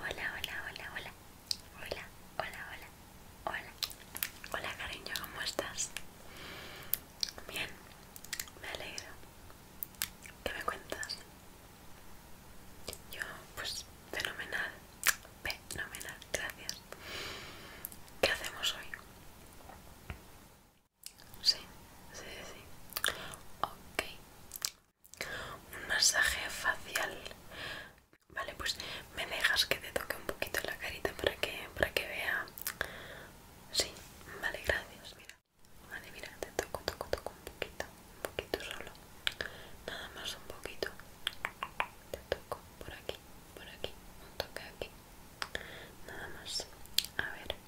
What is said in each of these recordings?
Hola, hola, hola, hola. Hola, hola, hola. Hola. Hola, cariño, ¿cómo estás? Bien. Me alegro. ¿Qué me cuentas? Yo, pues, fenomenal. Fenomenal, gracias. ¿Qué hacemos hoy? Sí, sí, sí. Ok un masaje facial vale pues me dejas que te toque un poquito la carita para que para que vea sí vale gracias mira vale mira te toco toco toco un poquito un poquito solo nada más un poquito te toco por aquí por aquí un toque aquí nada más a ver mm.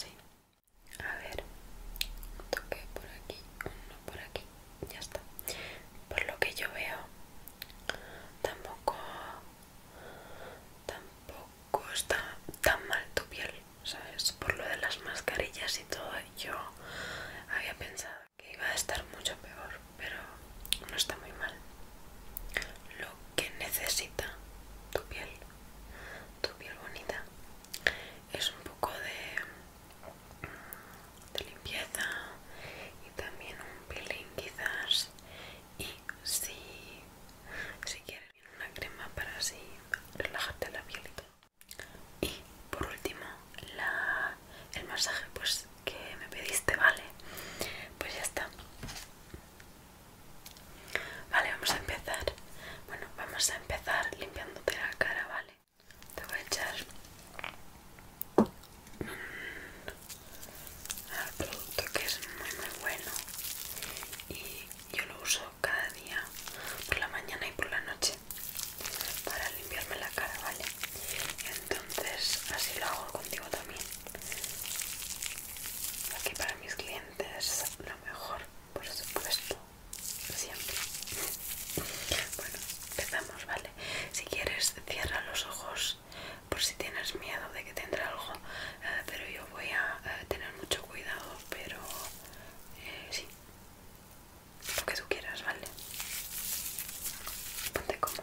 sí a ver un toque por aquí uno por aquí ya está por lo que yo veo tampoco tampoco está tan mal tu piel sabes por lo de las mascarillas y todo yo había pensado que iba a estar mucho peor pero no está muy mal lo que necesita tu piel tu piel bonita es un poco de, limpieza y también un peeling quizás y si, si quieres una crema para así relajarte la piel y y por último el masaje pues que me pediste vale pues ya está Vale, vamos a empezar. Bueno, vamos a empezar limpiándote la cara, ¿vale? Te voy a echar al producto que es muy muy bueno y yo lo uso cada día por la mañana y por la noche para limpiarme la cara, ¿vale? Entonces así lo hago contigo también. Aquí para mis clientes lo mejor por supuesto, siempre. Bueno, empezamos, ¿vale? Si quieres, cierra los ojos por si tienes miedo de que tendrá algo, eh, pero yo voy a eh, tener mucho cuidado, pero eh, sí, lo que tú quieras, ¿vale? Ponte cómodo.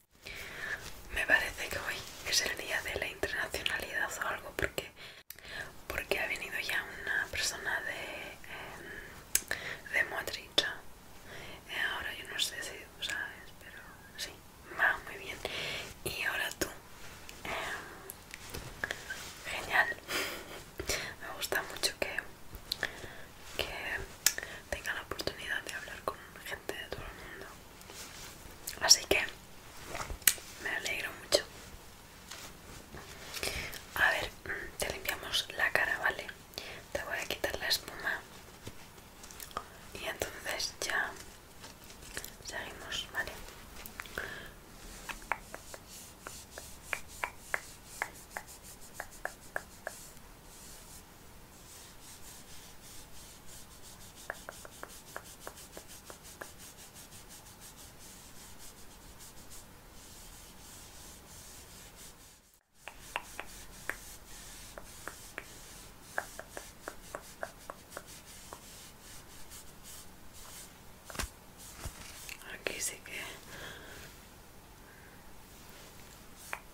Me parece que hoy es el día de la internacionalidad o algo porque, porque ha venido ya una persona de, em, de Motricha. Eh, ahora yo no sé si sabes, pero sí, va muy bien. Y ahora tú. Em, genial. Me gusta mucho que, que tenga la oportunidad de hablar con gente de todo el mundo. Así que me alegro mucho. A ver, te limpiamos la cara, ¿vale? Te voy a quitar la espuma y entonces ya seguimos, ¿vale? Aquí sí que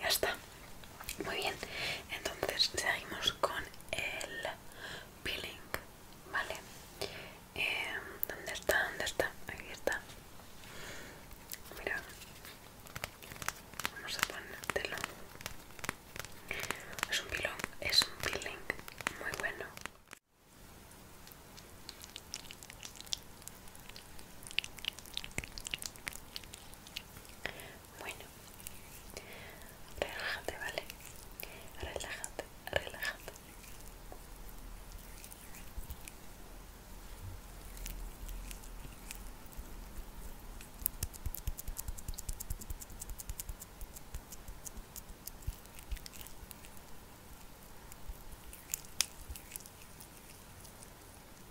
Ya está. Muy bien. Entonces seguimos con el peeling, ¿vale? Em, ¿Dónde está? ¿Dónde está? Aquí está. Mira. Vamos a ponértelo. Es un peeling, es un peeling muy bueno. Bueno, relájate, ¿vale? Relájate, relájate.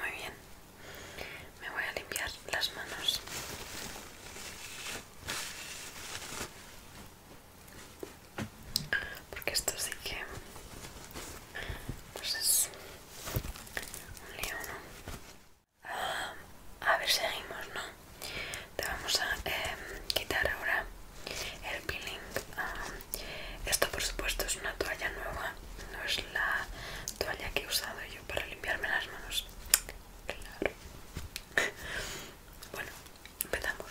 Muy bien, me voy a limpiar las manos. Porque esto sí que... Pues es un lío, ¿no? Ah, a ver, seguimos, ¿no? te vamos a em, quitar ahora el peeling ah, esto por supuesto es una toalla nueva no es la toalla que he usado yo para limpiarme las manos claro bueno empezamos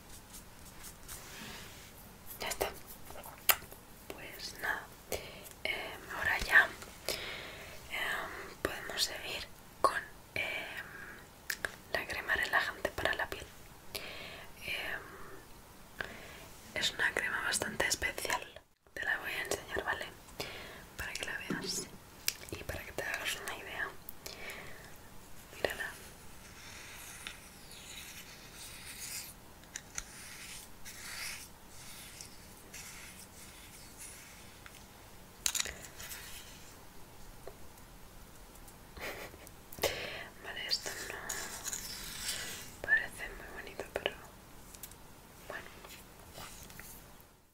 ya está pues nada em, ahora ya em, podemos seguir con em, la crema relajante para la piel es una crema bastante especial te la voy a enseñar vale para que la veas y para que te hagas una idea mírala vale, esto no parece muy bonito, pero bueno.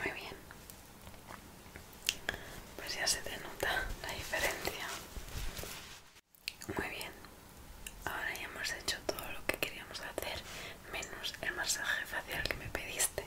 Muy bien. Pues ya se te nota la diferencia. Muy bien, ahora ya hemos hecho todo lo que queríamos hacer, menos el masaje facial que me pediste.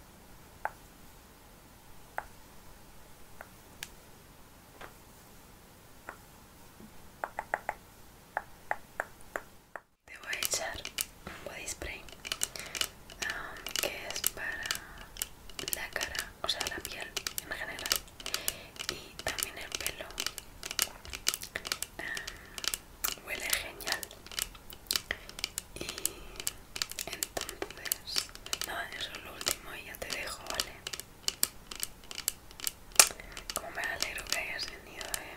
Te voy a echar un body spray um, que es para la cara, o sea la piel en general y también el pelo huele genial y entonces nada eso es lo último y ya te dejo vale como me alegro que hayas venido eh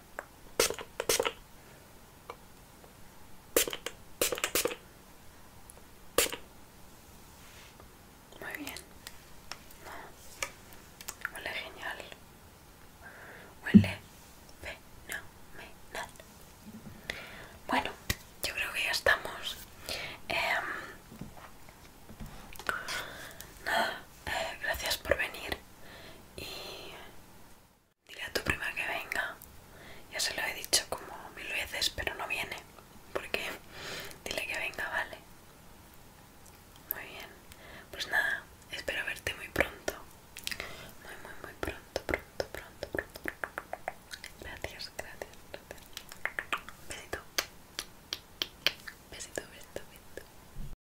Muy bien. No. Huele genial. Huele fenomenal. Bueno, yo creo que ya estamos. Em, nada, eh, gracias por venir y dile a tu prima que venga. Ya se lo he dicho como mil veces, pero no viene. Porque dile que venga, vale. Muy bien. Pues nada, espero verte muy pronto. Muy, muy, muy pronto, pronto, pronto, Gracias, gracias, gracias. Besito. Besito, besito, besito.